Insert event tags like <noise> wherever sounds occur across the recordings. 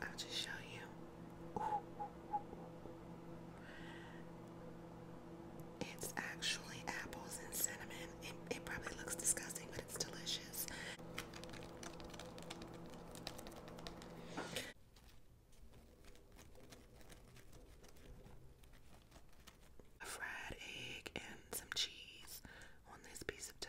I'll just show you. It's actually apples and cinnamon. It, it probably looks disgusting, but it's delicious. A fried egg and some cheese on this piece of dough.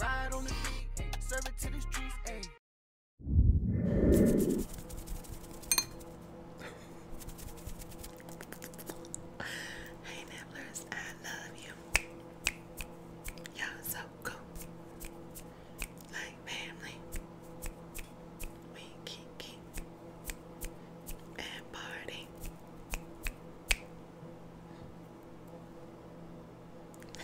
Ride on the beat, ayy. Serve it to the streets, hey nibblers, I love you. Y'all so cool. Like family. We kinky and party. <laughs>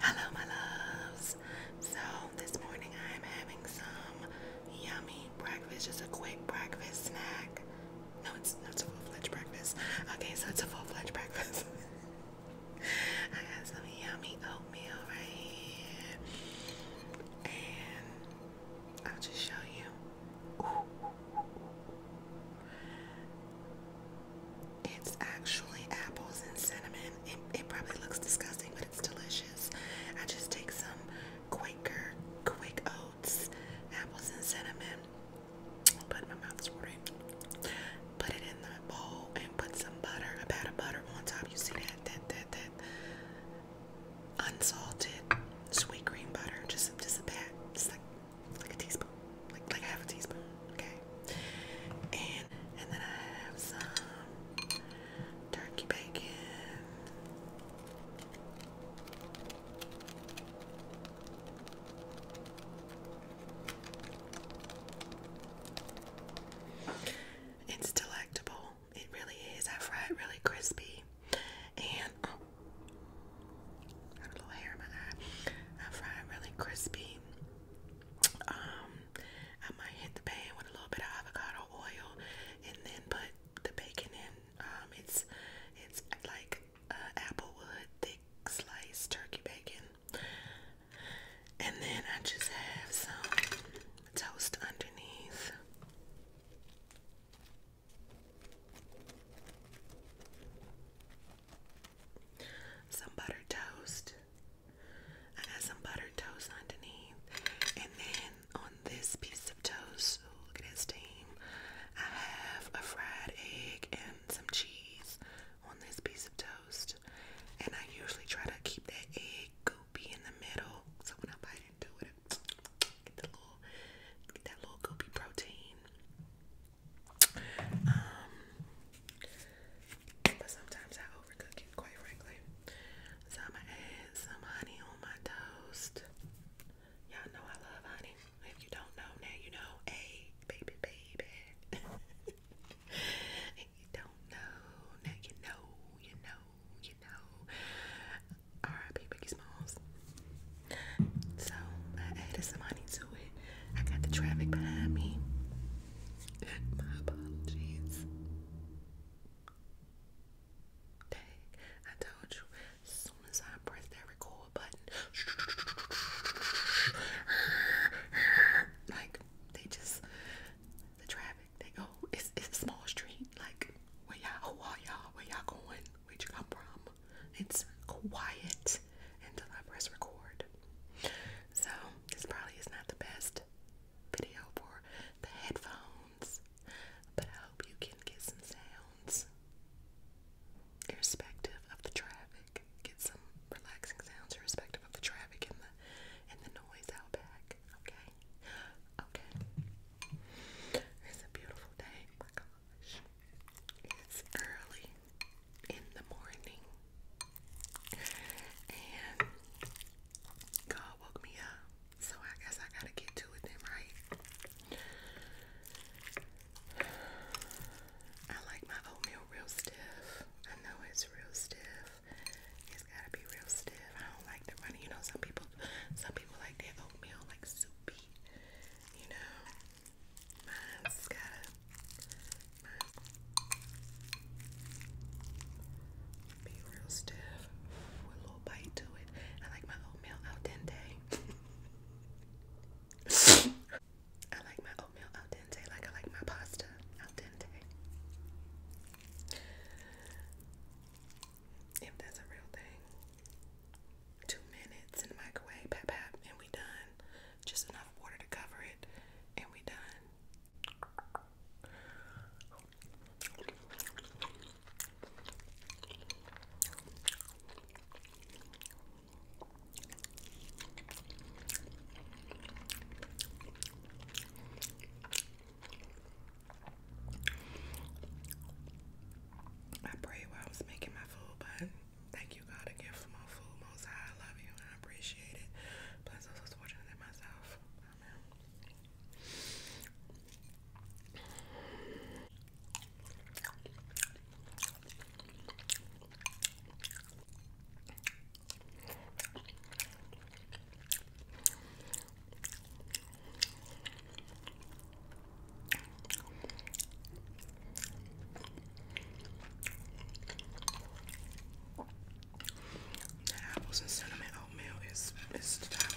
Hello, my loves. So, this morning I am having some yummy breakfast, just a quick breakfast snack. No, it's, no, a full fledged breakfast. Okay, so it's a full fledged breakfast. <laughs> I got some yummy oatmeal right here. And I'll just show you. It's actually apples and cinnamon. It, probably looks disgusting, but it's delicious. I just take some Quaker quick oats, apples and cinnamon. Put my mouth's watering. Put it in the bowl and put some butter, a pat of butter on top. You see that that that that unsalted sweet cream butter, just just a pat, just like like a teaspoon, like like half a teaspoon, okay. And and then I have some turkey bacon. It's delectable. It really is. I fry it really crispy. And um, a little hair in my eye. I fry it really crispy. Um, I might hit the pan with a little bit of avocado oil, and then put the bacon in. Um, it's it's like uh, applewood thick sliced turkey bacon. And then I just have some toast underneath. Some butter toast. I got some butter toast underneath. And then on this piece of toast, ooh, look at this steam. I have a fried egg and some cheese on this piece of toast. And I usually try to keep that egg goopy in the middle. So when I bite into it, Get that little, get that little goopy protein. Um, but sometimes I overcook it, quite frankly. So I'm gonna add some honey on my toast. Y'all know I love honey. If you don't know, now you know. Hey, baby, baby. if <laughs> you don't know, now you know, you know, you know. R.I.P. Biggie Smalls. So I added some money to it. I got the traffic behind me. My apologies. Dang, I told you. As soon as I press that record button, like they just the traffic. They go. Oh, it's it's a small street. Like where y'all? Who are y'all? Where y'all going? where'd you come from? It's quiet until I press record. So this probably is not the best video for the headphones, but I hope you can get some sounds. Irrespective of the traffic. Get some relaxing sounds irrespective of the traffic and the and the noise out back. Okay? okay? It's a beautiful day, oh my gosh. It's early in the morning. And God woke me up. So I guess I gotta get to it then, right? I like my oatmeal real stiff. I know it's real stiff. It's gotta be real stiff. I don't like the runny. You know, some people, some people like their oatmeal like soupy, you know. Mine's got a be real stiff with a little bite to it. I like my oatmeal al dente. <laughs> I like my oatmeal al dente, like I like my pasta al dente. If that's a real thing two minutes in the microwave, pap pap, and we done. Just enough water to cover it, and we done. I prayed while I was making my food, but thank you, God, again for my food. Most high, I love you and I appreciate it. Plus, I fortunate in myself. Amen. The apples and cinnamon oatmeal is is to die for.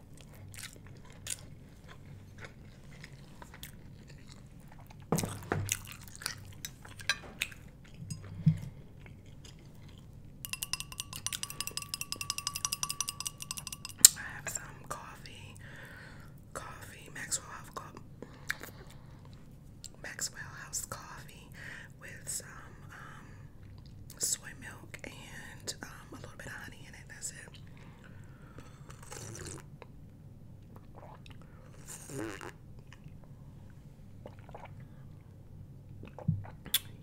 I have some coffee, coffee, Maxwell House, Maxwell House coffee with some um, soy milk and um, a um, little bit of honey in it. That's it.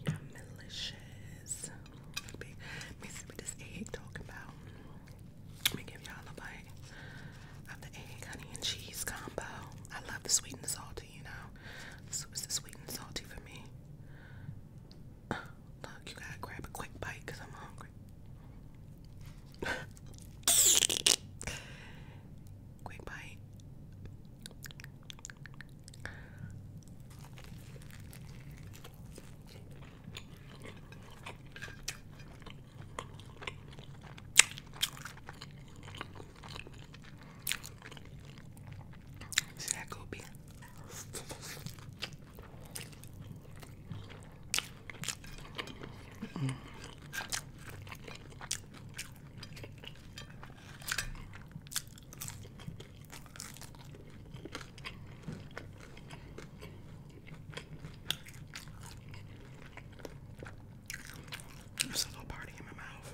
Yum, delicious. Let me see what this egg talking about. Let me give y'all a bite of the egg, honey, and cheese combo. I love the sweet and salty, you know. this is the sweet and salty for me look, you gotta grab a quick bite because I'm hungry. quick bite. See that goopy? Mm. There's a little party in my mouth.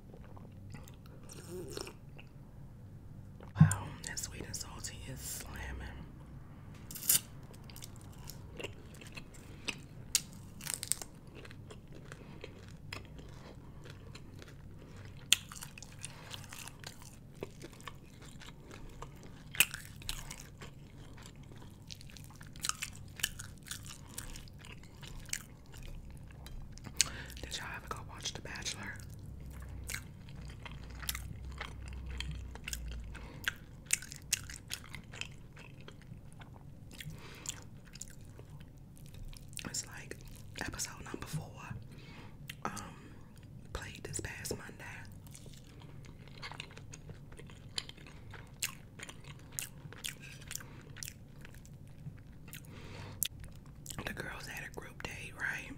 Wow, that sweet and salty is slamming. Did y'all ever go watch The Bachelor? It's like episode number four. Um, played this past Monday. The girls had a group date, right?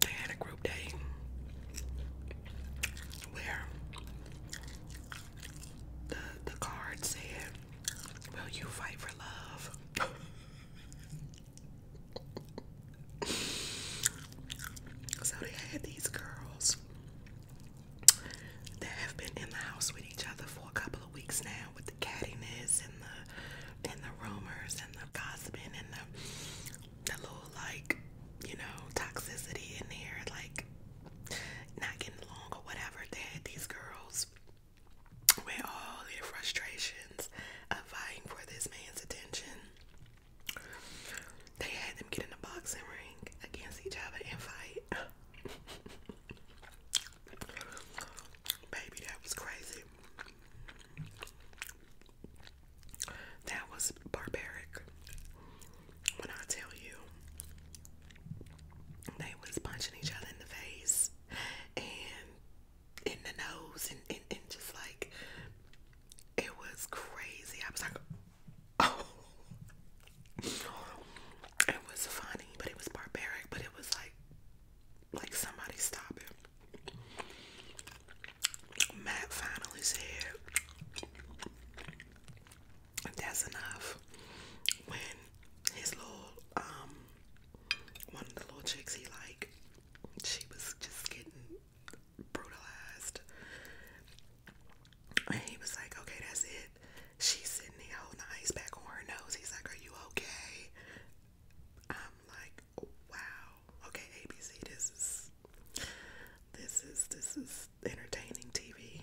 They had a group date where the the card said, "Will you fight for love?" <laughs> So they had these girls that have been in the house with each other for a couple of weeks now with the cattiness and the and the rumors and the gossiping and the the little like, you know, toxicity in there, like not getting along or whatever. They had these girls with all their frustrations of vying for this man's attention they had them get in the boxing ring against each other and fight. <laughs> Baby, that was crazy. That was barbaric. When I tell you, they was punching each other in the face and in the nose and, and just like it was crazy. I was like, oh, it was funny, but it was barbaric. But it was like, like somebody stop it. Matt finally said, "That's enough." When his little um, one of the little chicks he like, she was just getting brutalized. And he was like, okay, that's it. She's sitting there holding the ice pack on her nose. He's like, are you okay? I'm like, wow. Okay, ABC, this is, this is, this is entertaining TV.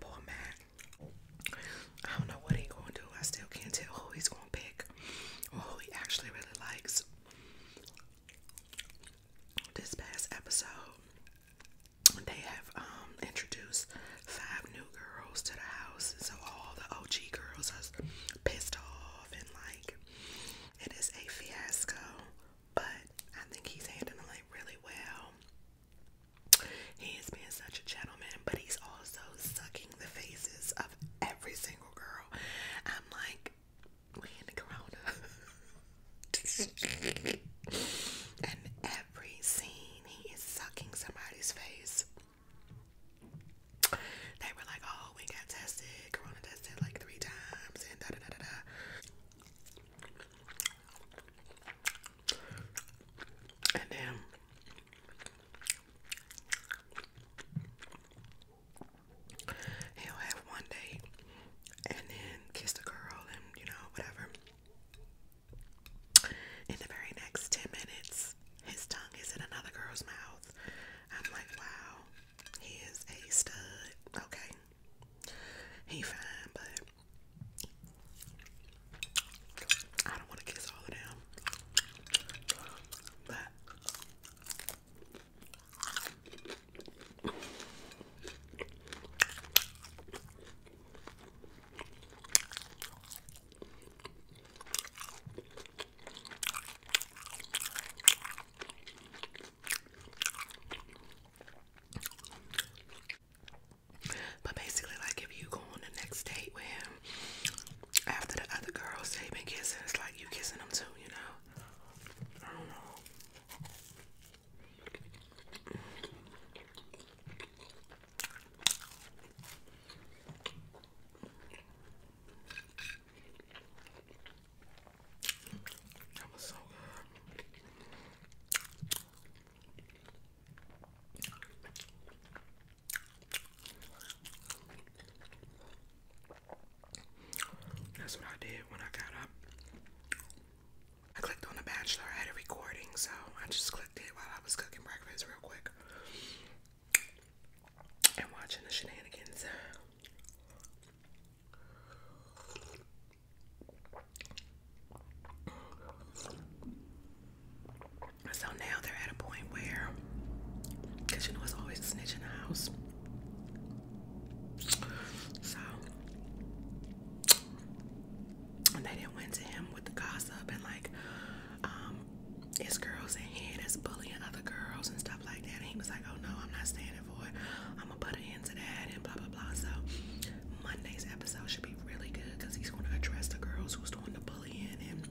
poor Matt, I don't know what he's gonna do. I still can't tell who he's gonna pick or who he actually really likes. This past episode, they have um, introduced five new girls to the house, so all the OG girls are pissed off and like it is a fiasco. But I think he's handling it really well. He is being such a gentleman, but he's also sucking the faces of every single girl. I'm like, we in <laughs> every scene he is sucking somebody's face. They were like, oh, we got tested, corona tested like three times, and da da da da And then he'll have one date and then kiss the girl and you know, whatever. In the very next 10 minutes, his tongue is in another girl's mouth. I'm like, wow, he is a stud. Okay. He fine, but I don't want to kiss all of them. But but basically, like if you go on the next date with him after the other girls they've been kissing, it's like you kissing them too, you know? I don't know. That was so good. That's what I did when I got up. I clicked on The Bachelor. I had a recording, so I just clicked it while I was cooking breakfast real quick and watching the shenanigans. So now they're at a point where, because you know it's always a snitch in the house. So and they didn't went to him with the gossip and like um girls in here that's bullying other girls and stuff like that and he was like oh no i'm not standing for it i'm gonna put an end to that and blah blah blah so monday's episode should be really good because he's going to address the girls who's doing the bullying and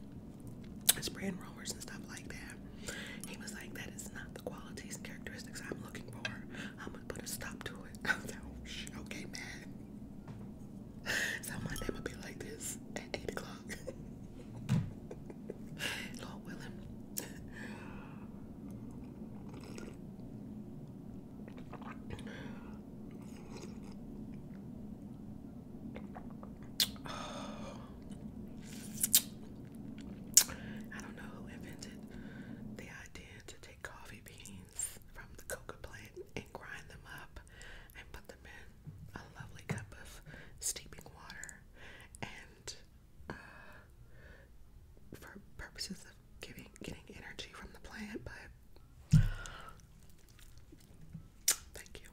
spreading rumors and stuff like that he was like that is not the qualities and characteristics i'm looking for i'm gonna put a stop to it <laughs> i was like oh, okay man so my day would be like this at 8 o'clock. <laughs> Lord willing. <sighs> I don't know who invented the idea to take coffee beans from the coca plant and grind them up and put them in a lovely cup of steeping water. And uh, for purposes of giving getting energy from the plant, but thank you.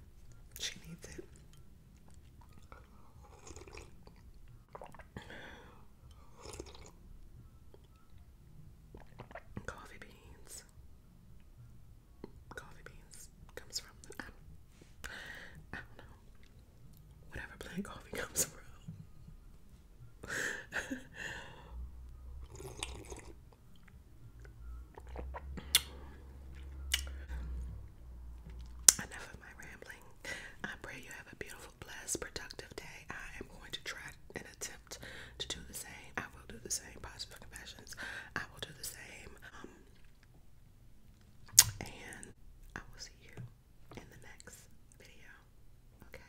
She needs it. Coffee beans. Coffee beans comes from the, I, Whatever plant coffee <laughs> comes from. Enough of my rambling. I pray you have a beautiful blessed, productive day. I am going to try and attempt to do the same. I will do the same. Positive confessions. I will do the same. Um, and I will see you in the next video. Okay.